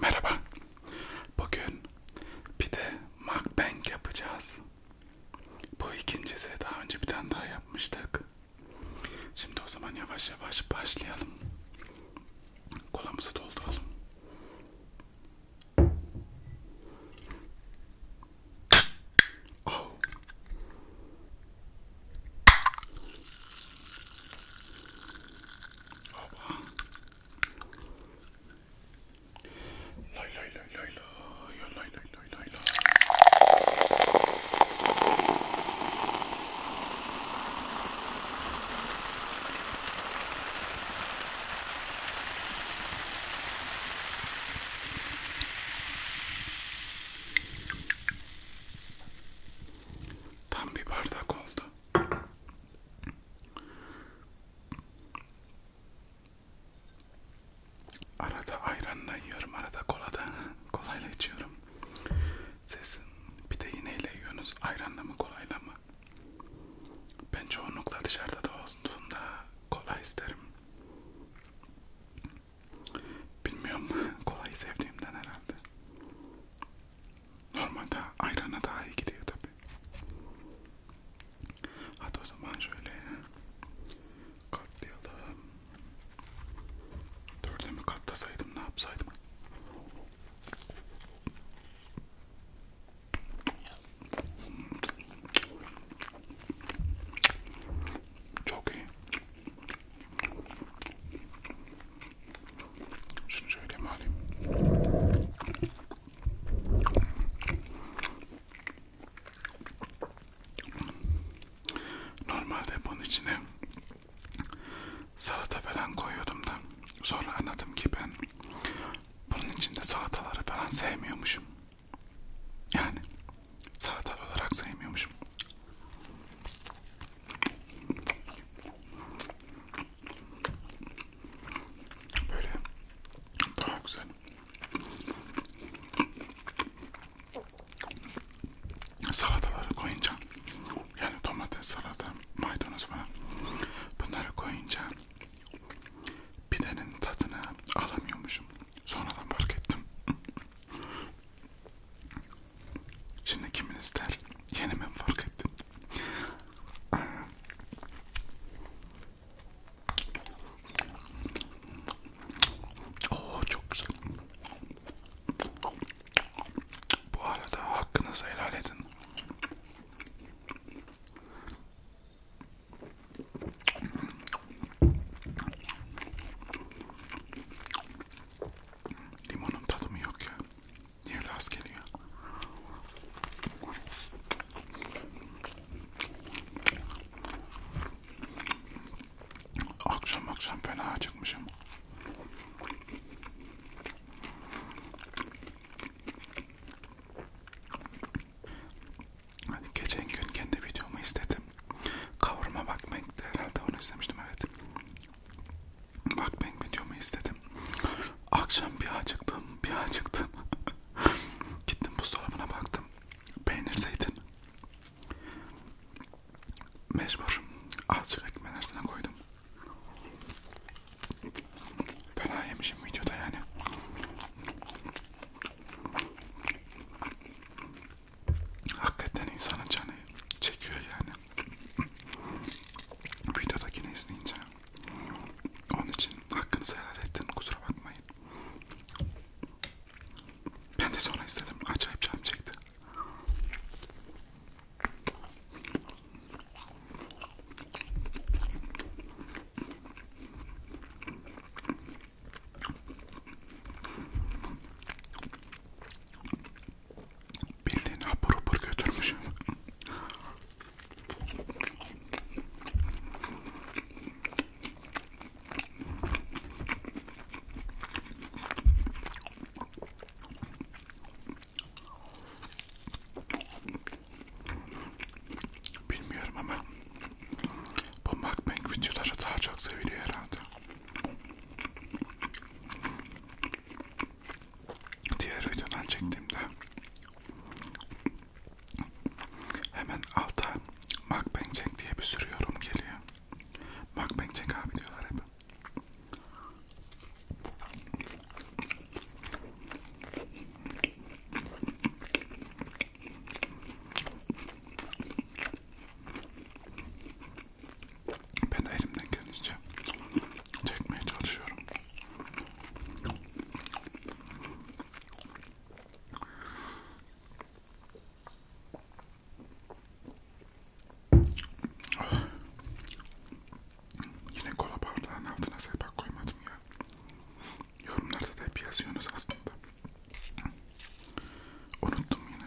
Merhaba. Bugün bir de mukbang yapacağız. Bu ikincisi daha önce bir tane daha yapmıştık. Şimdi o zaman yavaş yavaş başlayalım. Kolamızı dolduralım. Oh. Lay lay lay lay lay lay lay lay lay lay. Tam bir bardak oldu. Arada ayranla yiyorum, arada kolada, kolayla içiyorum. Siz bir de iğneyle yiyorsunuz, ayranla mı kolayla mı? Ben çoğunlukla dışarıda da olduğunda kola isterim. Bilmiyorum, kolayı sevdiğimden herhalde. Normalde ayrana daha iyi gidiyor tabi. Hadi o zaman şöyle katlayalım. Dörde mi katlasaydım ne yapsaydım? Çok iyi. Şunu şöyle mi alayım? Normalde bunun içine salata falan koyuyordum da sonra anladım ki ben bunun içinde salataları falan sevmiyormuşum. Yani salatalı olarak sevmiyormuşum. Böyle daha güzel. Salataları koyunca yani domates, salata, maydanoz falan bunları koyunca pidenin tadını alamıyormuşum. Sonradan fark ettim. Şimdi kiminiz der yeni ben fark ettim. Oo çok güzel. Bu arada hakkınızı helal edin. Limonun tadı mı yok ya? Niye las geliyor? Akşam akşam fena acıkmışım. Geçen gün kendi videomu istedim. Kavurma bakmak herhalde onu istemiştim evet. Bak ben videomu izledim. Akşam bir acıktım, bir acıktım. Gittim buzdolabına baktım. Peynir zeytin. Mecbur. Azıcık ekmeğin arasına koydum. Fena yemişim videoda yani. Hakikaten insanın canı çekiyor yani videodakini izleyince onun için hakkınızı helal ettim kusura bakmayın ben de sonra izledim acayip canım çekti Bildiğin hapur hapur götürmüşüm. Bilmiyorum ama bu mukbang videoları daha çok seviliyor herhalde diğer videodan çektiğimde hemen alta mukbang diye bir sürü yorum geliyor. Mukbang abi diyorlar hep. Ben de elimden gelince çekmeye çalışıyorum. Ah. Yine kola bardağının altına sebep koymadım ya. Yorumlarda da hep yazıyorsunuz aslında. Unuttum yine.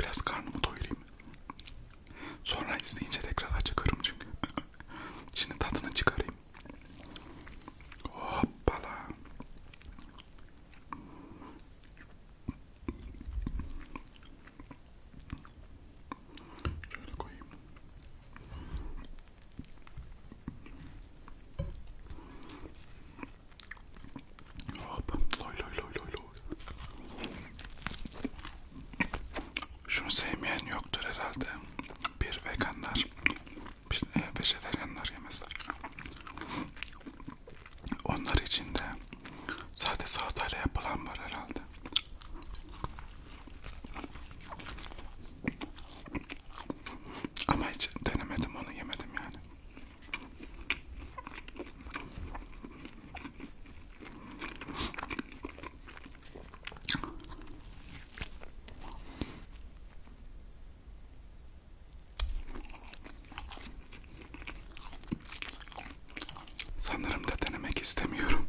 Biraz karnımı doyurayım. Sonra izleyince tekrar acıkırım çünkü. Şimdi tadını çıkarayım. Hoppala. Şöyle koyayım. Hop. Loy loy loy loy loy. Şunu sevmeyen yoktur herhalde. Bir veganlar, e, vejetaryenler yemez. Onlar için de sadece salatayla yapılan var herhalde. Ama hiç denemedim onu yemedim yani. Sanırım da denemek istemiyorum.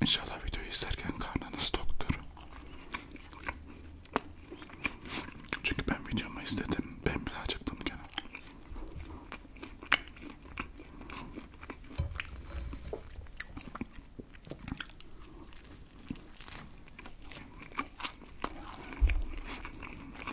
İnşallah videoyu izlerken karnınız toktur. Çünkü ben videomu izledim. Ben bile acıktım gene.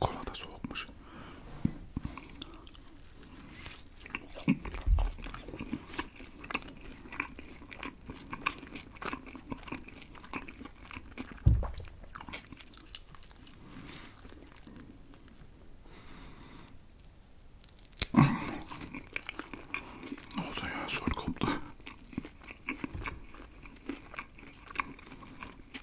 Kola da soğukmuş. ne oldu ya? Son koptu.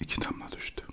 İki damla düştü.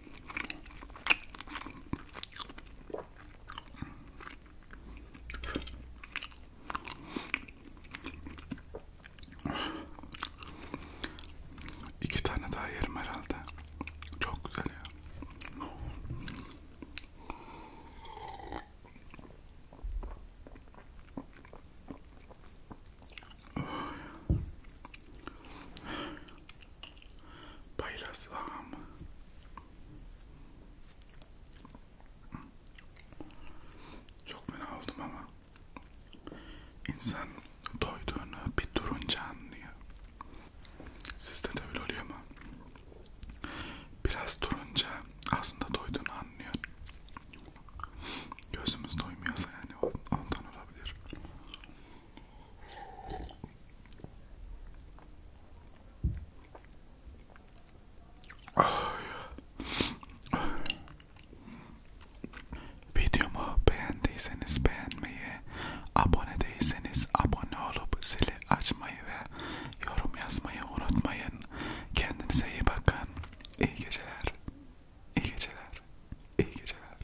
İki tane daha yerim herhalde. Çok güzel ya paylaşsam çok fena oldum ama insan doyduğunu bir durunca anlıyor. Sizde de öyle oluyor mu? Biraz durunca aslında doyduğunu anlıyor. Gözümüz doymuyorsa yani ondan olabilir. Videomu beğendiyseniz beğenmeyi, abone değilseniz abone olup zili açmayı ve yorum yazmayı unutmayın. Kendinize iyi bakın. İyi geceler. İyi geceler. İyi geceler.